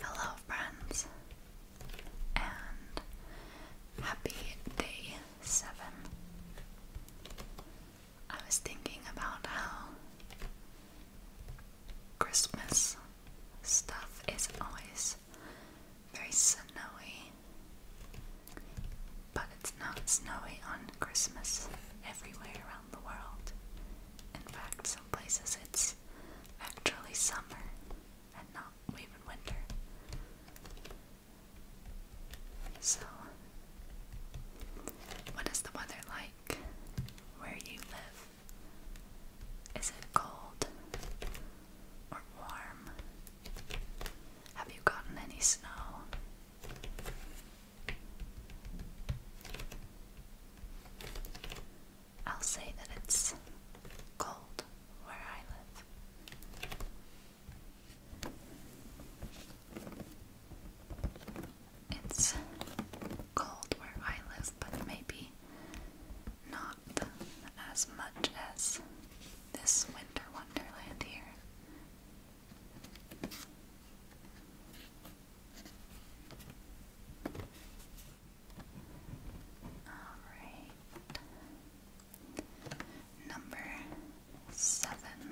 Hello, friends, and happy day seven. I was thinking about how Christmas stuff is always very snowy, but it's not snowy on Christmas everywhere around the world. In fact, some places it's actually summer and not even winter. So, what is the weather like where you live? Is it cold or warm? Have you gotten any snow? I'll say that it's cold where I live. It's cold where I live, but maybe not as much as this winter wonderland here. All right. Number seven.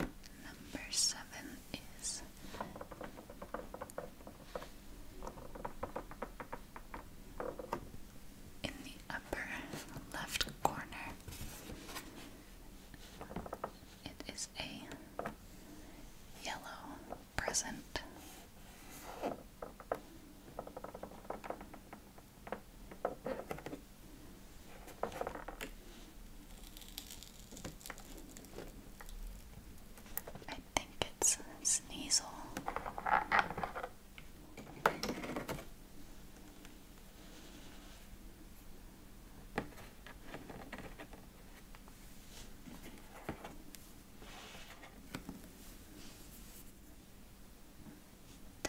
Number seven is in the upper left corner. It is a yellow present. I think it's Sneasel.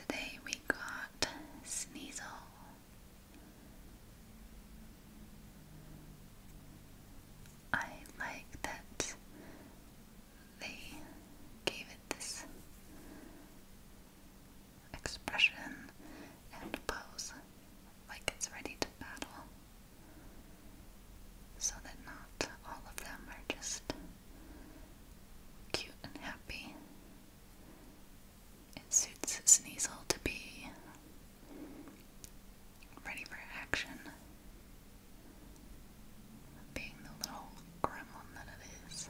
Today we got Sneasel, I like that they gave it this expression and pose like it's ready to battle so that not all of them are just cute and happy. It suits Sneasel to be ready for action. Being the little gremlin that it is.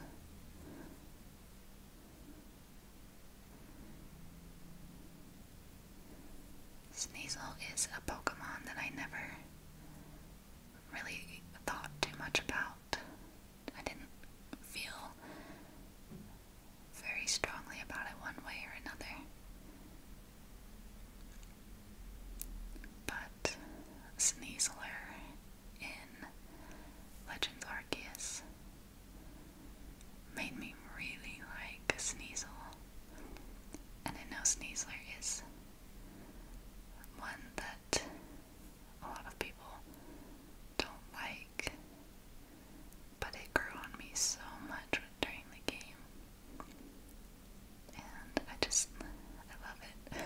Sneasel is a Pokemon that I never really thought too much about. I didn't feel very strongly about it one way or another. But Sneasler in Legends Arceus made me really like Sneasel. And I know Sneasler is one that a lot of people don't like but it grew on me so much during the game. And I just, I love it.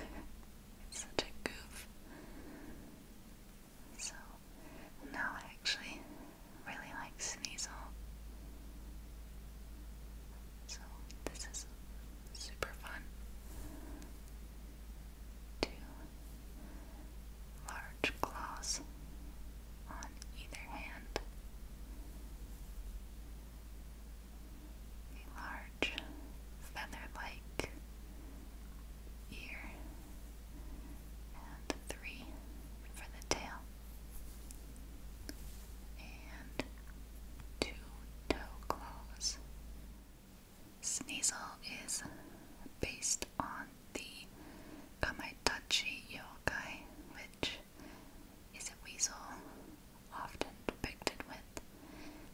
it's such a goof. So now I actually really like Sneasel. So this is super fun to large claws on either hand. A large feather like ear and three for the tail, and two toe claws. Sneasel is based on the Kamaitachi yokai, which is a weasel often depicted with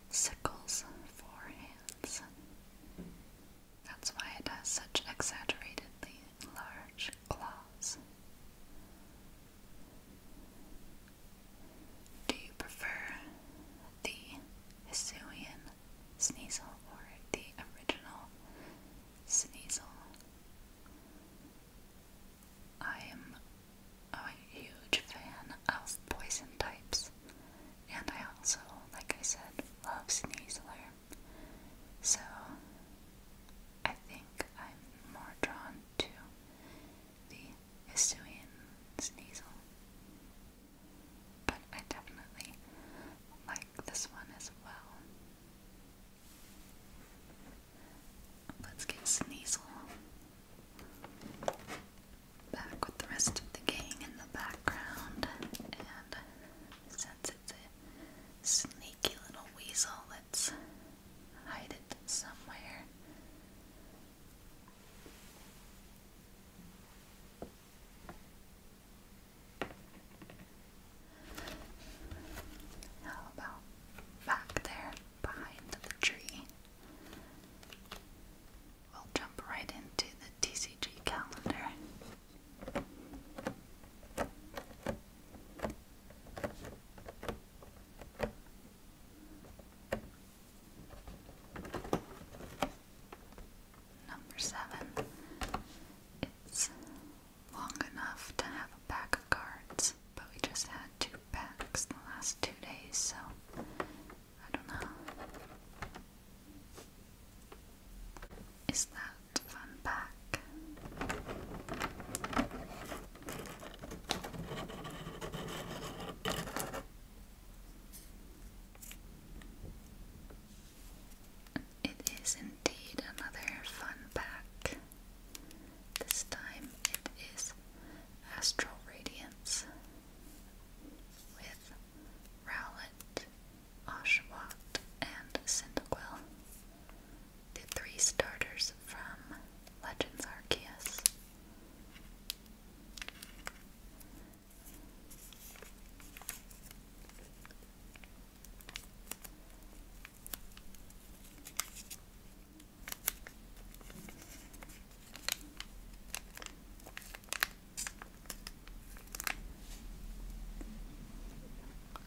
sickles for hands. That's why it has such exaggeratedly large claws. Do you prefer the Hisuian Sneasel or the original Sneasel. I am a huge fan of poison types, and I also, like I said, love Sneasler. So I think I'm more drawn to the Hisuian Sneasel but I definitely like this one as well. Let's get Sneasel back with the rest of the gang in the background, and since it's a sneaky little weasel, let's hide it somewhere. How about back there behind the tree? We'll jump right into the TCG calendar. Number seven. It's long enough to have a pack of cards, but we just had two packs the last two days, so I don't know. Is that fun pack? It is indeed another fun pack. This time it is Astral Radiance with Rowlet, Oshawott, and Cyndaquil, the three starters from Legends Arceus.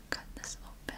Cut this open.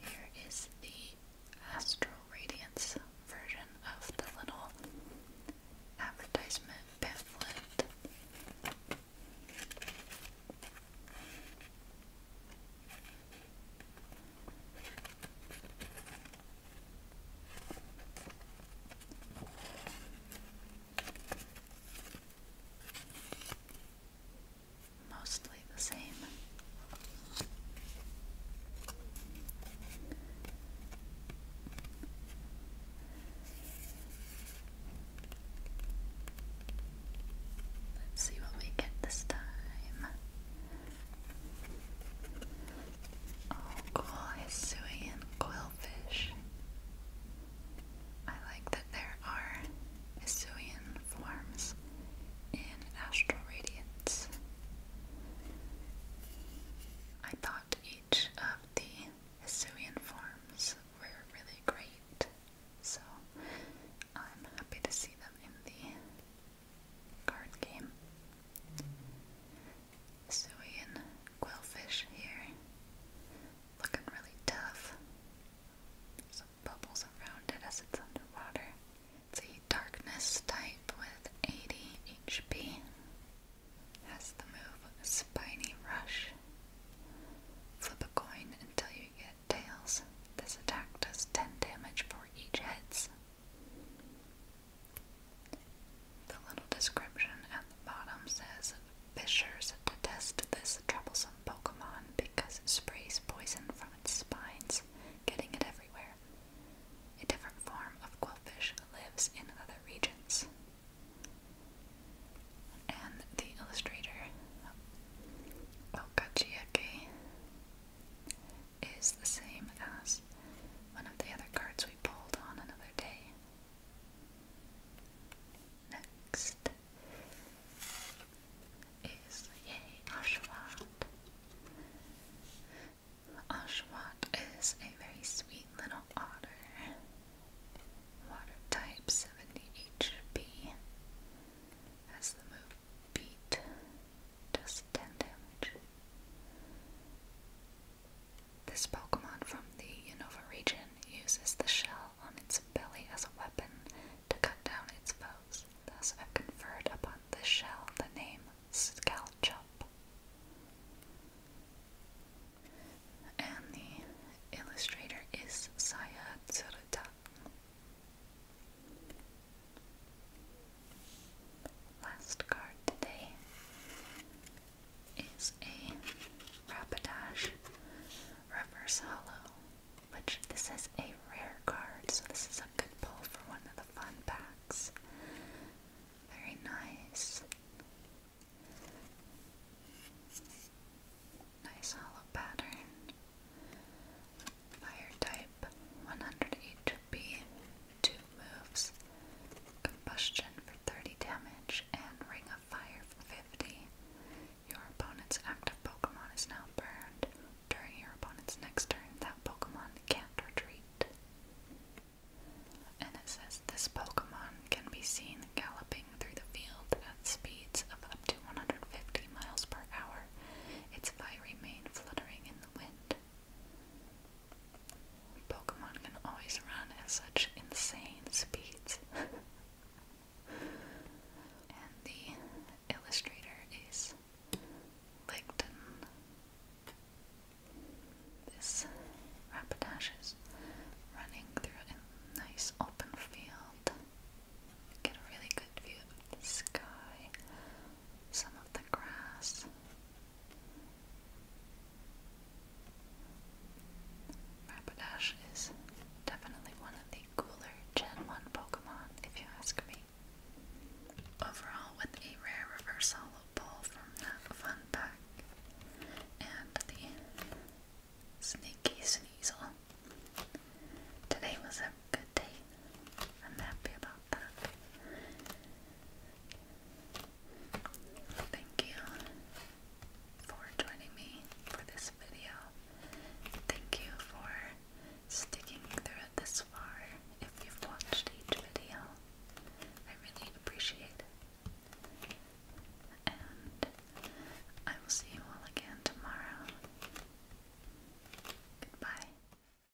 Here is the Astral Radiance version of the little advertisement pamphlet mostly the same. Let's see what we get this time. Oh, cool, Hisuian quillfish. I like that there are Hisuian forms in astral radiance. I thought each of the Hisuian forms were really great, so I'm happy to see them in the card game. Hisuian quillfish here looking really tough. some bubbles around it as it's underwater. It's a darkness type with 80 HP. Has the move Spiny Rush. Flip a coin until you get tails. This attack does 10 damage for each heads. The little description at the bottom says fishers detest this troublesome Pokemon because it sprays poison from its spines, getting it everywhere. A different form of quillfish lives in other regions. And the illustrator, Okachiake, is the same as one of the other cards we pulled on another day. Next is Ashwat. Ashwat is a very sweet little otter. Water type 70 HP. Has the move beat. Does 10 damage. This Pokemon from the Unova region uses the shell on its belly as a weapon to cut down its foes. Thus, I've conferred upon this shell the name Scalchop. And the illustrator is Saya Tsuruta. Last card today is a Rapidash Reverse Hollow, which this is a rare card, so this is a good pull for one of the fun packs. Very nice. Nice hollow pattern. Fire type, 100 HP, two moves, Combustion for 30 damage, and Ring of Fire for 50. Your opponent's active Pokemon is now burned. During your opponent's next turn, that Pokemon can't retreat. And it says this Pokemon can be seen galloping through the field at speeds of up to 150 miles per hour, its fiery remains fluttering in the wind. Pokemon can always run at such insane speeds. and the illustrator is Ligton. This Rapidash is running through a nice open field. Get a really good view of the sky some of the grass. Rapidash is definitely one of the cooler Gen 1 Pokemon, if you ask me. Overall, with a rare reversal pull from that fun pack, and the sneaky sneasel. Today was a good day. I'm happy about that. Thank you for joining me for this video. Thank you for sticking through this far if you've watched each video. I really appreciate it. And I will see you all again tomorrow. Goodbye.